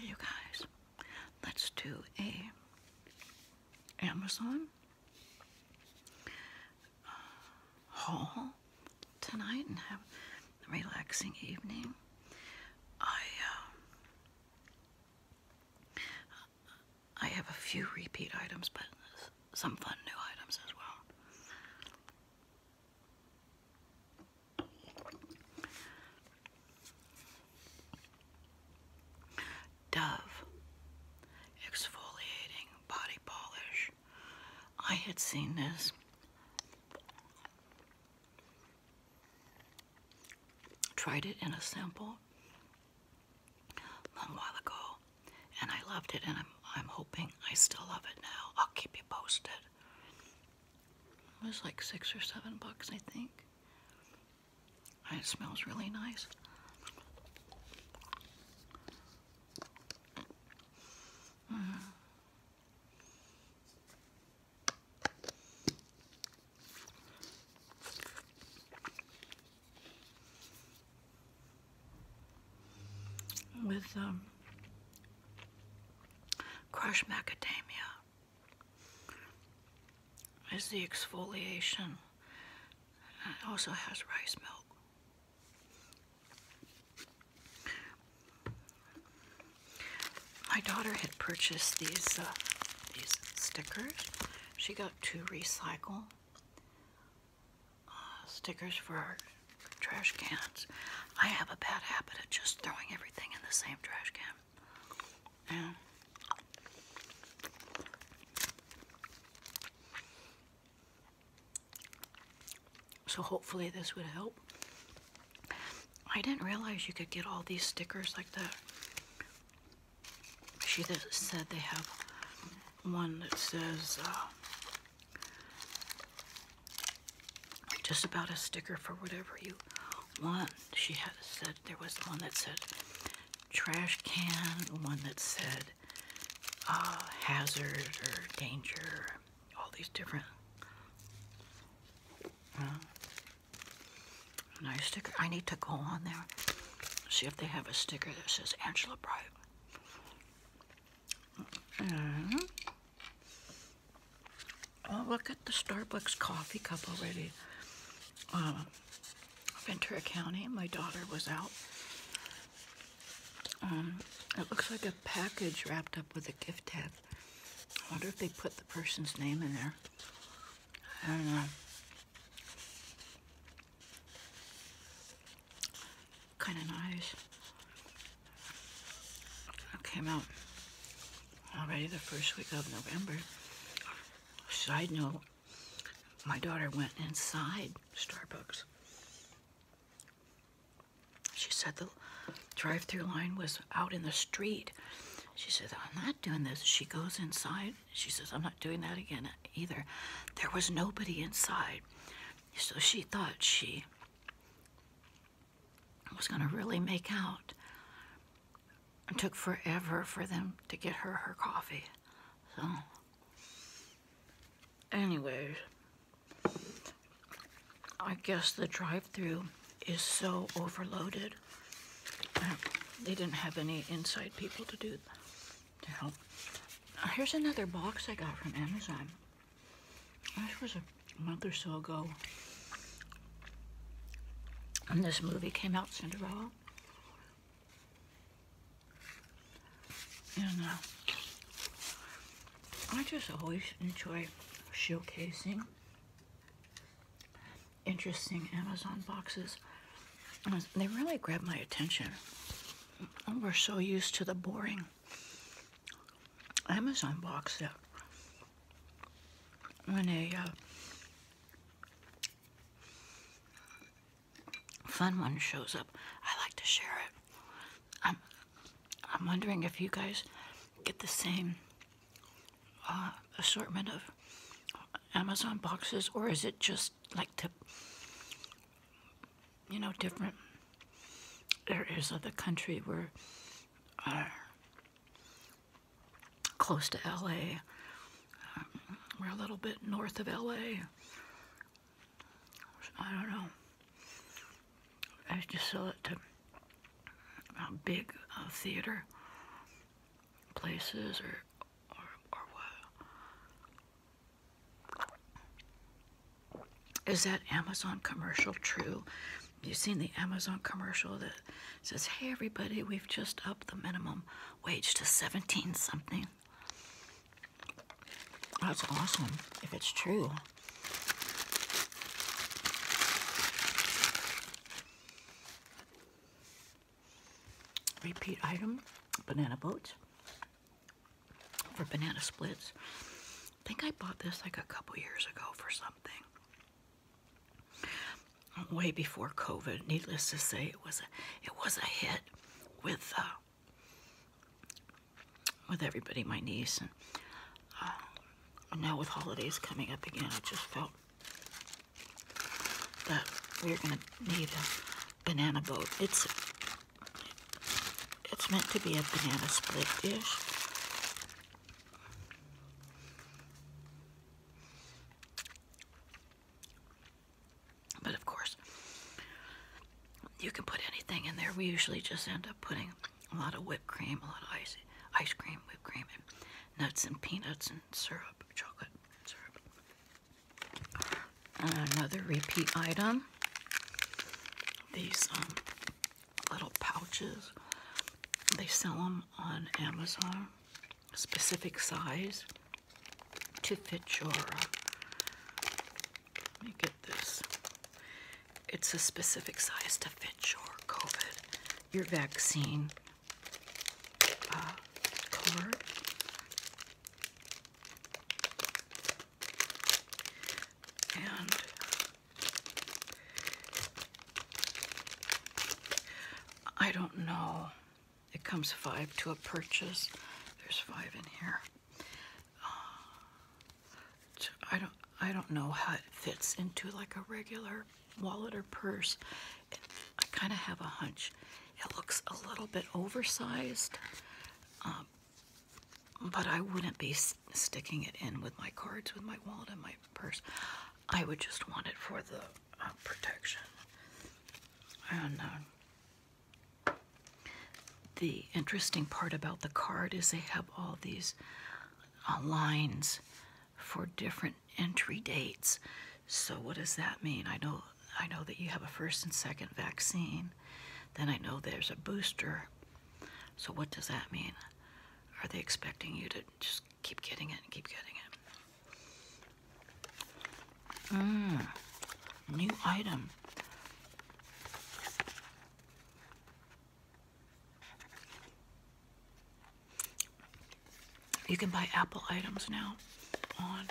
You guys, let's do a Amazon uh, haul tonight and have a relaxing evening. I uh, I have a few repeat items, but some fun new items as well. Dove Exfoliating Body Polish. I had seen this. Tried it in a sample a long while ago and I loved it and I'm I'm hoping I still love it now. I'll keep you posted. It was like six or seven bucks, I think. And it smells really nice. Mm. With um, Crushed macadamia is the exfoliation. It also has rice milk. My daughter had purchased these uh, these stickers. She got two recycle uh, stickers for trash cans. I have a bad habit of just throwing everything in the same trash can. so hopefully this would help. I didn't realize you could get all these stickers like that. She said they have one that says uh, just about a sticker for whatever you want. She had said there was one that said trash can, one that said uh, hazard or danger, all these different. Uh, nice sticker. I need to go on there, see if they have a sticker that says Angela Bright. Mm-hmm. Oh, look at the Starbucks coffee cup already. Uh, Ventura County, my daughter was out. Um, it looks like a package wrapped up with a gift tag. I wonder if they put the person's name in there. I don't know. Kind of nice. It came out already the first week of November. Side note, my daughter went inside Starbucks. She said the drive through line was out in the street. She says I'm not doing this. She goes inside. She says, I'm not doing that again either. There was nobody inside. So she thought she was going to really make out. It took forever for them to get her her coffee. So, anyways, I guess the drive through is so overloaded. they didn't have any inside people to do to help. Here's another box I got from Amazon. This was a month or so ago. And this movie came out, Cinderella. And uh, I just always enjoy showcasing interesting Amazon boxes. they really grab my attention. we're so used to the boring Amazon box set when a uh, fun one shows up, I like to share it. I'm, I'm wondering if you guys get the same uh, assortment of Amazon boxes, or is it just like to, you know, different areas of the country were uh, close to LA. Um, we're a little bit north of LA. I don't know. I just saw it to um, uh, big theater places or, or, or what. Is that Amazon commercial true? You've seen the Amazon commercial that says, hey, everybody, we've just upped the minimum wage to 17 something. That's awesome if it's true. Repeat item, banana boats for banana splits think I bought this like a couple years ago for something. Way before COVID. Needless to say, it was a it was a hit with uh, with everybody, my niece, and uh, now with holidays coming up again, I just felt that we're gonna need a banana boat. It's it's meant to be a banana split dish. But of course, you can put anything in there. We usually just end up putting a lot of whipped cream, a lot of ice, ice cream, whipped cream, and nuts and peanuts and syrup, chocolate syrup. another repeat item. These um, little pouches. They sell them on Amazon, specific size to fit your. Uh, let me get this. It's a specific size to fit your COVID, your vaccine uh, card. And I don't know. It comes five to a purchase. There's five in here. Uh, I don't. I don't know how it fits into like a regular wallet or purse. I kind of have a hunch. It looks a little bit oversized, um, but I wouldn't be sticking it in with my cards, with my wallet, and my purse. I would just want it for the uh, protection. And um, the interesting part about the card is they have all these uh, lines for different entry dates. So what does that mean? I know I know that you have a first and second vaccine. Then I know there's a booster so what does that mean? Are they expecting you to just keep getting it and keep getting it? Mmm, new item. You can buy Apple items now on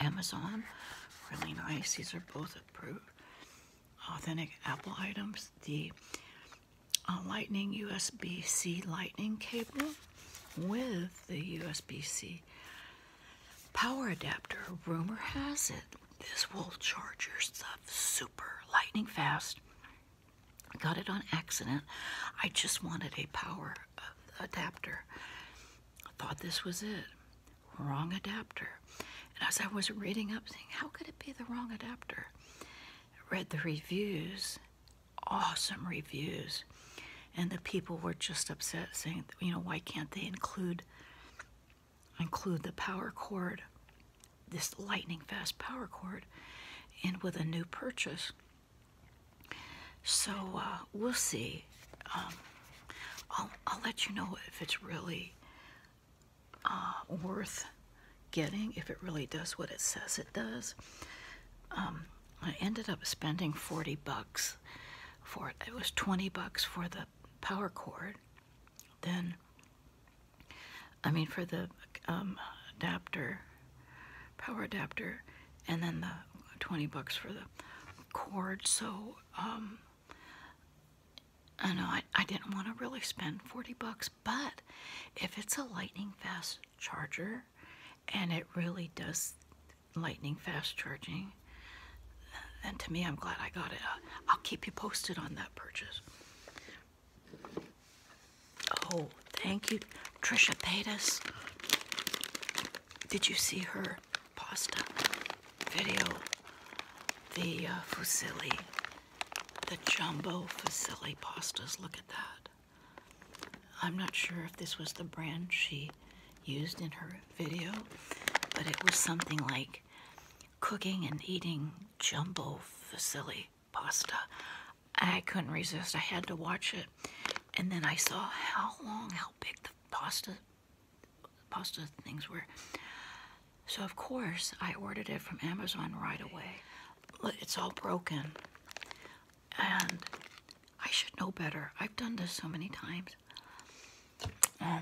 Amazon. Really nice. These are both approved authentic Apple items, the uh, lightning USB-C lightning cable with the USB-C power adapter. Rumor has it this will charge your stuff super lightning fast. I got it on accident. I just wanted a power uh, adapter. I thought this was it wrong adapter. And as I was reading up, saying, how could it be the wrong adapter? read the reviews, awesome reviews, and the people were just upset, saying, you know, why can't they include include the power cord, this lightning fast power cord, and with a new purchase. So uh, we'll see. Um, I'll, I'll let you know if it's really uh, worth getting if it really does what it says it does. Um, I ended up spending 40 bucks for it. It was 20 bucks for the power cord. Then, I mean, for the um, adapter, power adapter, and then the 20 bucks for the cord. So, um, I know I, didn't want to really spend 40 bucks, but if it's a lightning fast charger and it really does lightning fast charging, then to me, I'm glad I got it. Uh, I'll keep you posted on that purchase. Oh, thank you, Trisha Paytas. Did you see her pasta video, the uh, fusilli, the jumbo fusilli pastas. Look at that. I'm not sure if this was the brand she used in her video, but it was something like cooking and eating jumbo fusilli pasta. I couldn't resist. I had to watch it. And then I saw how long, how big the pasta pasta things were. So of course, I ordered it from Amazon right away. Look, it's all broken. And I should know better. I've done this so many times. Um,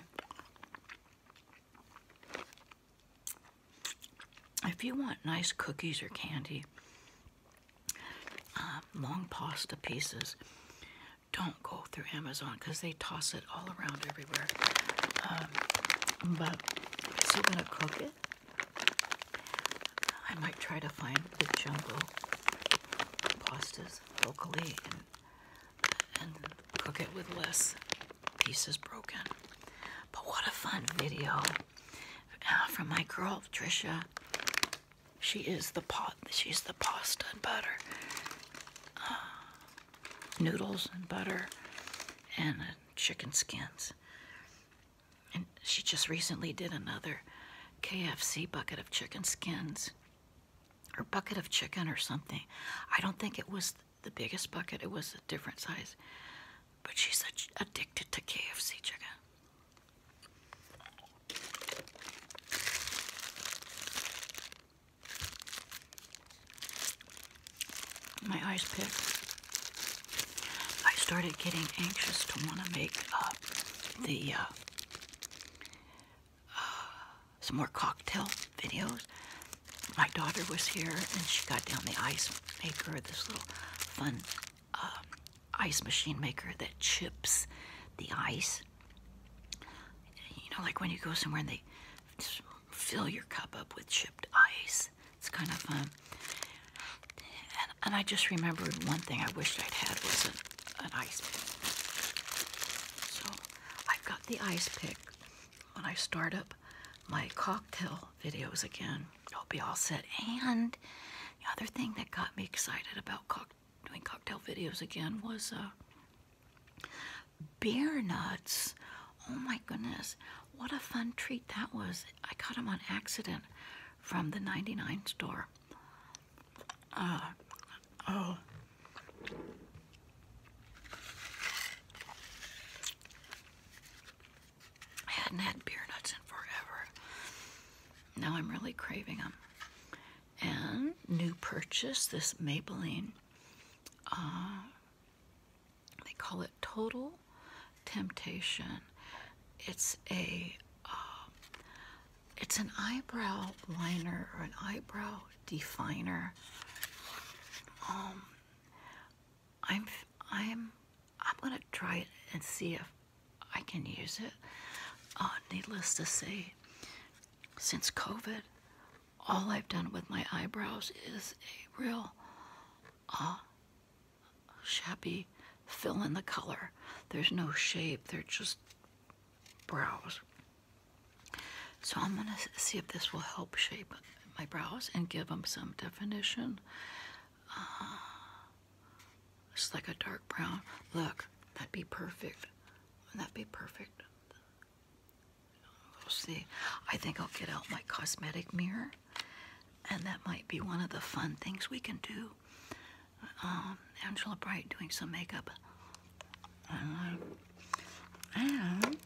if you want nice cookies or candy, um, long pasta pieces, don't go through Amazon because they toss it all around everywhere. But um, but is he gonna cook it? I might try to find the jumbo pastas locally and cook it with less pieces broken. But what a fun video ah, from my girl Trisha. She is the pot. She's the pasta and butter. Ah noodles and butter and chicken skins. And she just recently did another KFC bucket of chicken skins or bucket of chicken or something. I don't think it was the biggest bucket, it was a different size. But she's addicted to KFC chicken my eyes picked. I started getting anxious to want to make uh, the uh, uh, some more cocktail videos. My daughter was here and she got down the ice maker, this little fun uh, ice machine maker that chips the ice you know, like when you go somewhere and they fill your cup up with chipped ice. It's kind of fun. Um, and, I just remembered one thing I wished I'd had was an, ice pick. So I have got the ice pick when I start up my cocktail videos again. I'll be all set. And the other thing that got me excited about cocktails doing cocktail videos again was uh, beer nuts. Oh my goodness, what a fun treat that was. I got them on accident from the 99 store. Uh, oh. I hadn't had beer nuts in forever. Now I'm really craving them and new purchase this Maybelline. Uh, they call it Total Temptation. It's a uh, it's an eyebrow liner or an eyebrow definer. Um, I'm I'm I'm gonna try it and see if I can use it. Uh, needless to say, since COVID, all I've done with my eyebrows is a real uh, shabby fill in the color. There's no shape, they're just brows. So I'm gonna see if this will help shape my brows and give them some definition. Uh, just like a dark brown. Look, that'd be perfect. Wouldn't that be perfect? We'll see. I think I'll get out my cosmetic mirror, and that might be one of the fun things we can do. Um, Angela Bright doing some makeup. Uh, and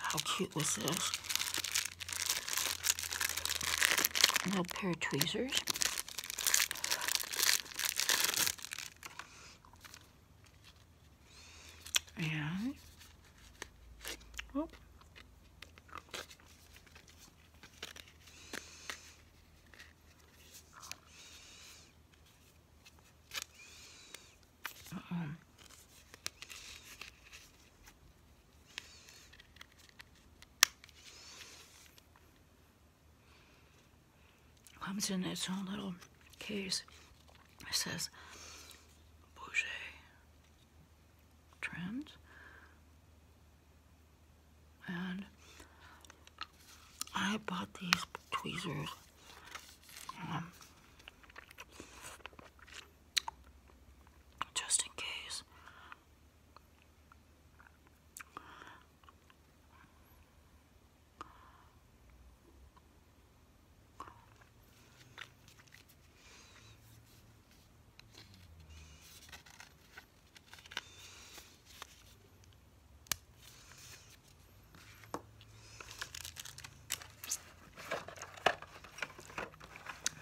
how cute was this? a pair of tweezers. And, oh, Uh -oh. Comes in its own little case. It says Boucher trend, And I bought these tweezers. Um, just in case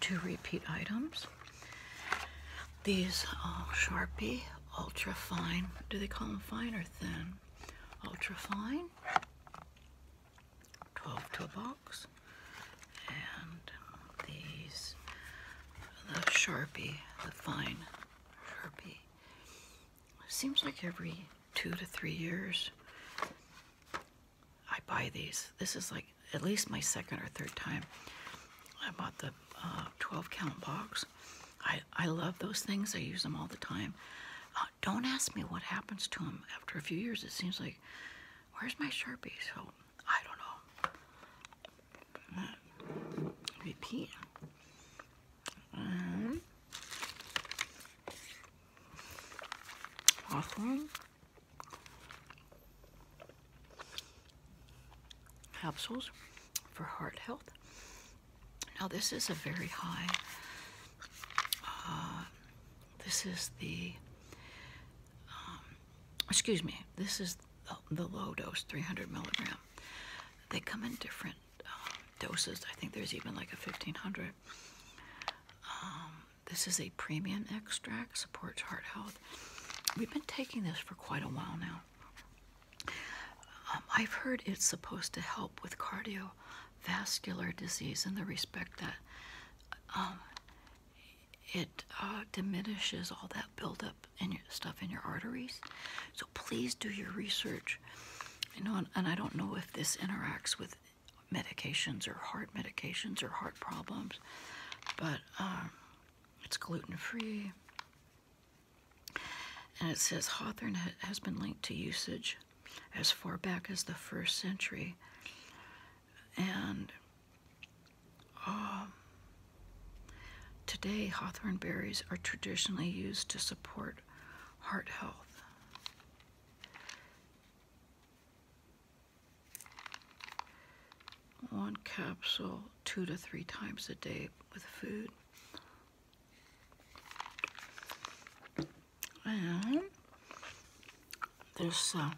Two repeat items. These are um, Sharpie Ultra Fine. Do they call them fine or thin? Ultra Fine. 12 to a box. And these, the Sharpie, the fine Sharpie. Seems like every two to three years I buy these. This is like at least my second or third time. I bought the uh, 12 count box. I, I love those things. I use them all the time. Uh, don't ask me what happens to them after a few years. It seems like, where's my Sharpie? So, I don't know. Mm. Repeat. Um, capsules for heart health. Now this is a very high, uh, this is the, um, excuse me, this is the, low dose, 300 milligram. They come in different um, doses. I think there's even like a 1500. Um, this is a premium extract, supports heart health. We've been taking this for quite a while now. Um, I've heard it's supposed to help with cardiovascular disease in the respect that um, it uh, diminishes all that buildup and stuff in your arteries. So please do your research. You know, and, I don't know if this interacts with medications or heart medications or heart problems, but um, it's gluten free. And it says Hawthorn has been linked to usage as far back as the first century. And um, today, Hawthorn berries are traditionally used to support heart health one capsule two to three times a day with food. And there's uh,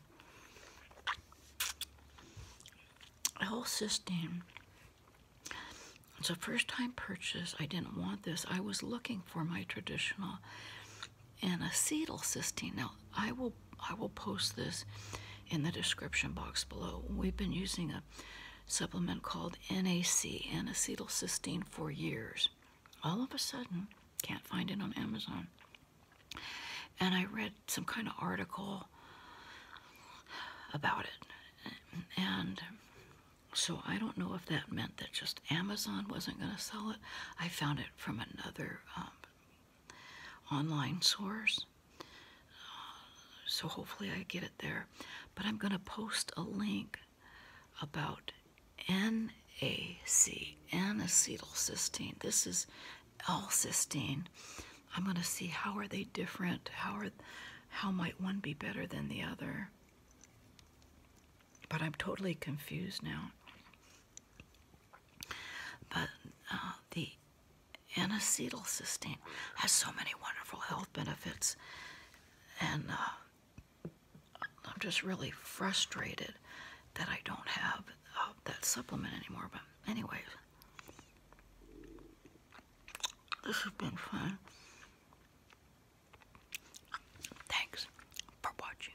L-cysteine. It's a first-time purchase. I didn't want this. I was looking for my traditional anacetyl cysteine. Now, I will I will post this in the description box below. We've been using a supplement called NAC, n cysteine, for years. All of a sudden, can't find it on Amazon. And I read some kind of article about it. And so I don't know if that meant that just Amazon wasn't going to sell it. I found it from another um, online source. So hopefully I get it there. But I'm going to post a link about NAC, n cysteine. This is L-cysteine. I'm going to see how are they different? How are how might one be better than the other? But I'm totally confused now. But uh, the n cysteine has so many wonderful health benefits, and uh, I'm just really frustrated that I don't have uh, that supplement anymore. But anyways, this has been fun. Thanks for watching.